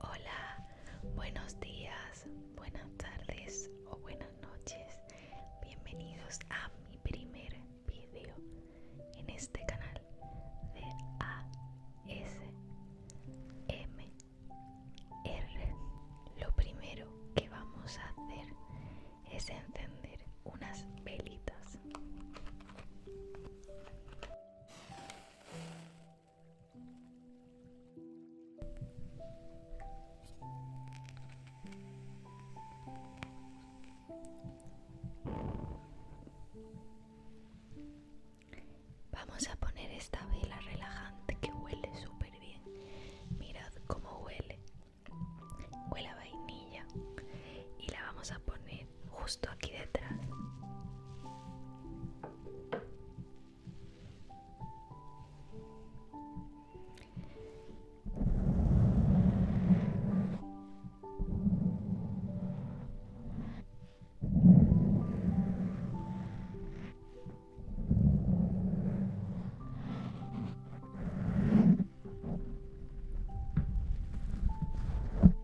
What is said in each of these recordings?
Hola, buenos días, buenas tardes o buenas noches. Bienvenidos a mi primer vídeo en este canal de ASMR. Lo primero que vamos a hacer es encender unas velitas. Vamos a poner esta vela relajante que huele súper bien. Mirad cómo huele. Huele a vainilla. Y la vamos a poner justo aquí detrás.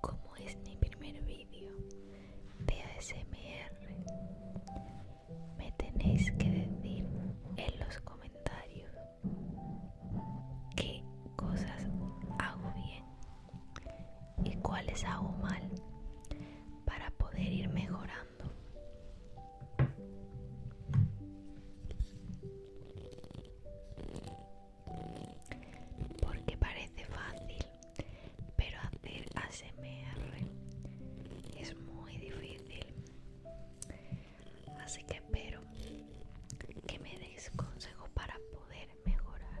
Como es mi primer vídeo de ASMR, me tenéis que decir en los comentarios qué cosas hago bien y cuáles hago mal para poder ir mejorando porque parece fácil, pero hacer ASMR es muy difícil. Así que espero que me deis consejos para poder mejorar.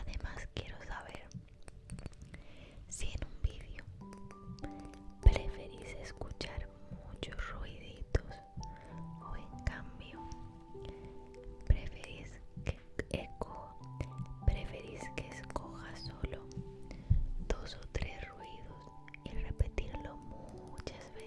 Además quiero saber si en un vídeo preferís escuchar muchos ruiditos o en cambio preferís que escoja solo dos o tres ruidos y repetirlo muchas veces.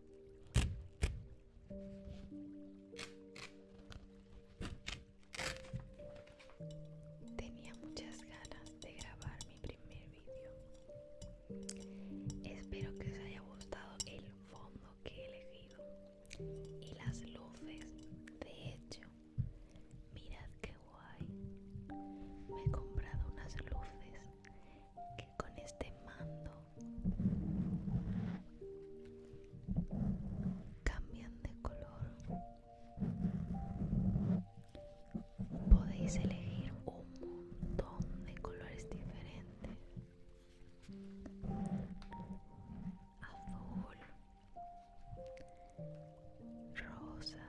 Tenía muchas ganas de grabar mi primer vídeo. Espero que os haya gustado el fondo que he elegido y las luces. De hecho, mirad qué guay. Me he comprado unas luces que con este mando cambian de color. Podéis elegir un montón de colores diferentes. Azul, rosa,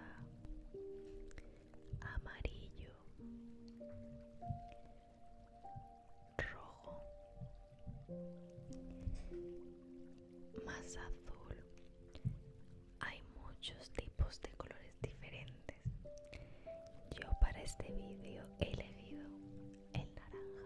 amarillo, rojo, más azul. Hay muchos tipos de colores diferentes. Yo para este vídeo he elegido el naranja.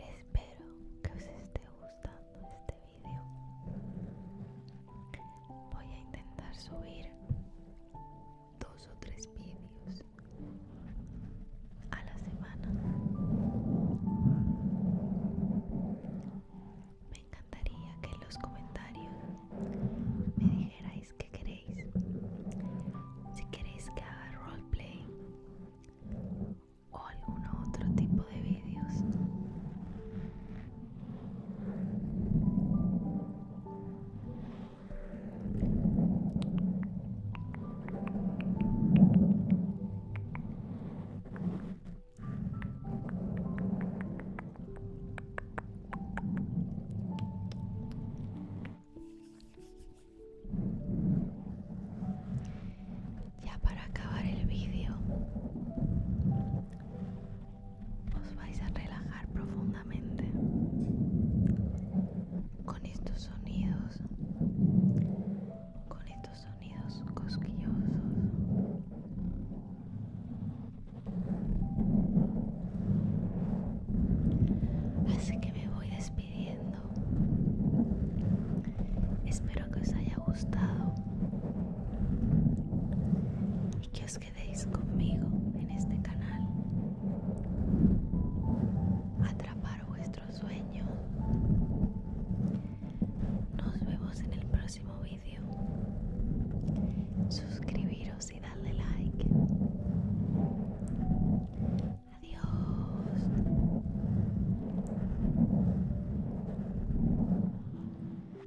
Espero que os esté gustando este voy a intentar subir dos o tres vídeos a la semana me encantaría que en los comentarios me dijerais qué queréis si queréis que haga roleplay o algún otro tipo de vídeos ya para acabar el vídeo, os vais a relajar profundamente con estos sonidos, con estos sonidos cosquillosos. Así que me voy despidiendo. Espero que os haya gustado y que os quedéis conmigo en este canal. Atrapar vuestro sueño. Nos vemos en el próximo vídeo. Suscribiros y darle like. Adiós.